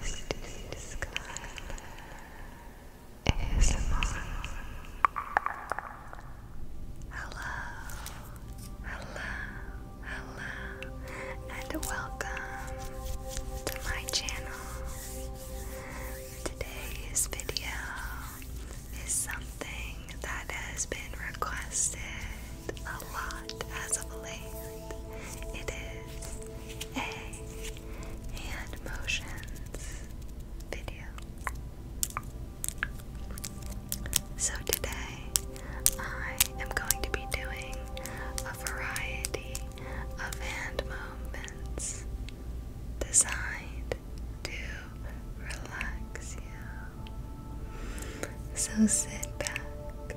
Christy Hello, hello, hello, and welcome to my channel. Today's video is something that has been requested a lot as of late. It is a hand motions video. So today I am going to be doing a variety of hand movements designed to relax you. So sit back,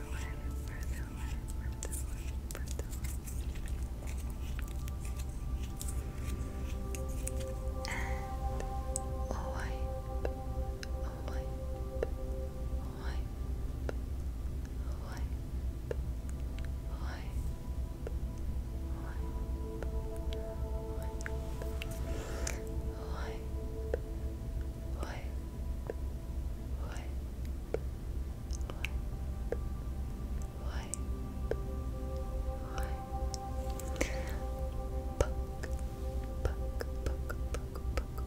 further one, further one, further one. And wipe, wipe, wipe, wipe, wipe. Wipe, wipe, wipe, wipe, wipe, wipe, wipe, puck, puck, puck, puck, puck, puck, puck,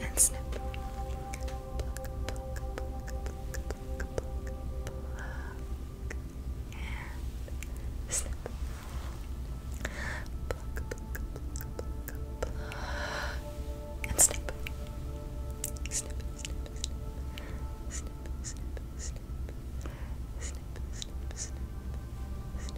and snip. And snip. And snip. Snip, snip, snip. Snip, snip, snip. Snip, snip, snip. Snip,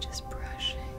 Just brushing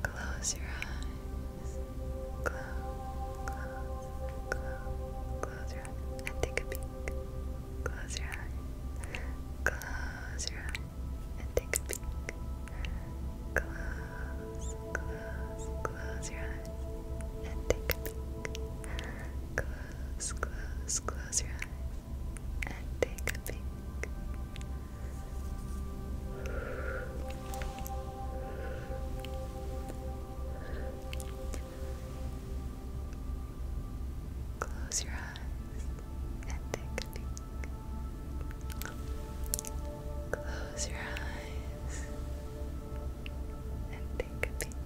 Close your eyes. Close, close, close, close your eyes. And take a peek. Close your eyes. Close your eyes and take a peek. Close, close, close your eyes and take a peek. Close, close, close your eyes and take a peek. Close your eyes and take a peek. Close your eyes and take a peek.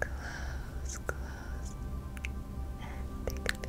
Close, close, and take a peek.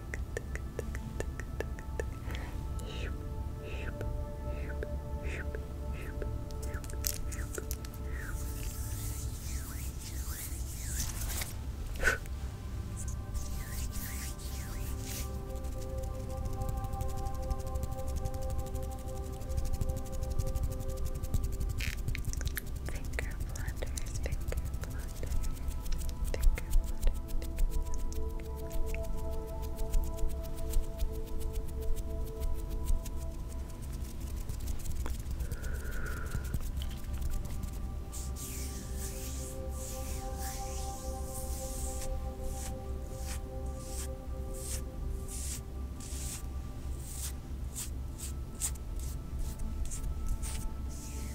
Finger blunders, finger blunders. Think about it. Think about it.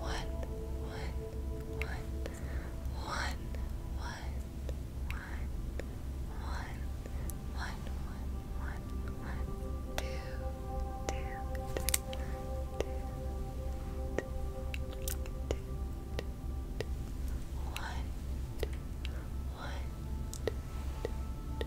one, one, one, one, one, one, one, one, one, one, two, two, two, two, two, two, one, one, two, two,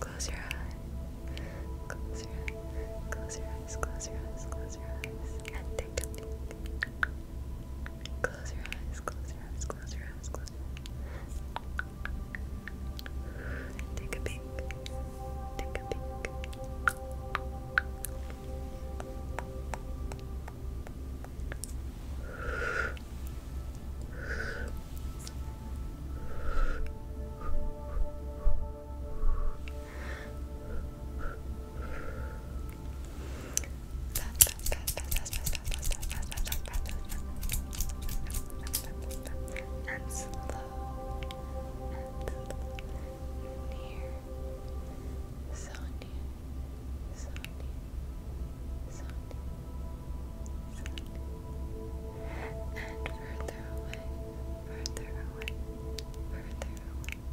Close your eyes. Close your eyes. Close your eyes. Close your eyes. Close your eyes. And take Close your eyes, close your eyes, close your eyes, close your eyes. Take a peek. Take a peek and slow and near, so near, so near, so near, and further away, further away, further away.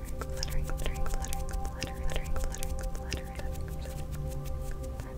fluttering, fluttering, fluttering, fluttering, fluttering, fluttering, fluttering, fluttering, fluttering, fluttering.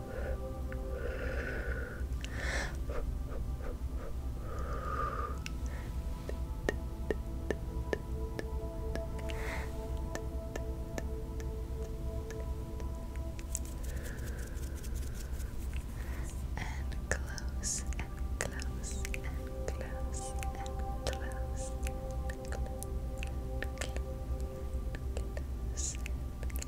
And close and close and close and close close. close. And close.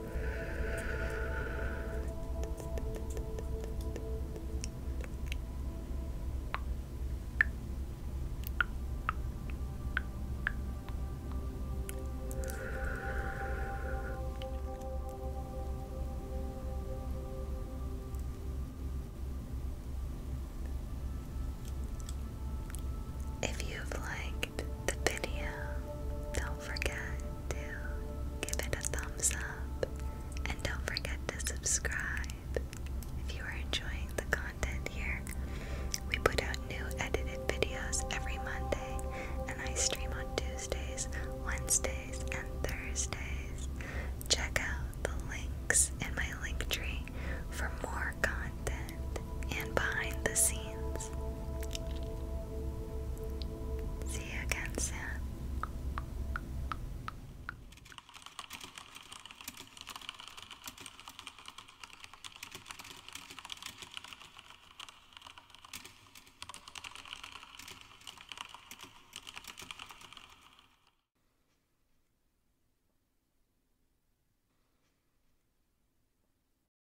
If you like the video, don't forget to give it a thumbs up and don't forget to subscribe if you are enjoying the content here. We put out new edited videos every Monday, and I stream on Tuesdays, Wednesdays, and Thursdays. Check out the links in my link tree for more content and behind the scenes. See you again soon.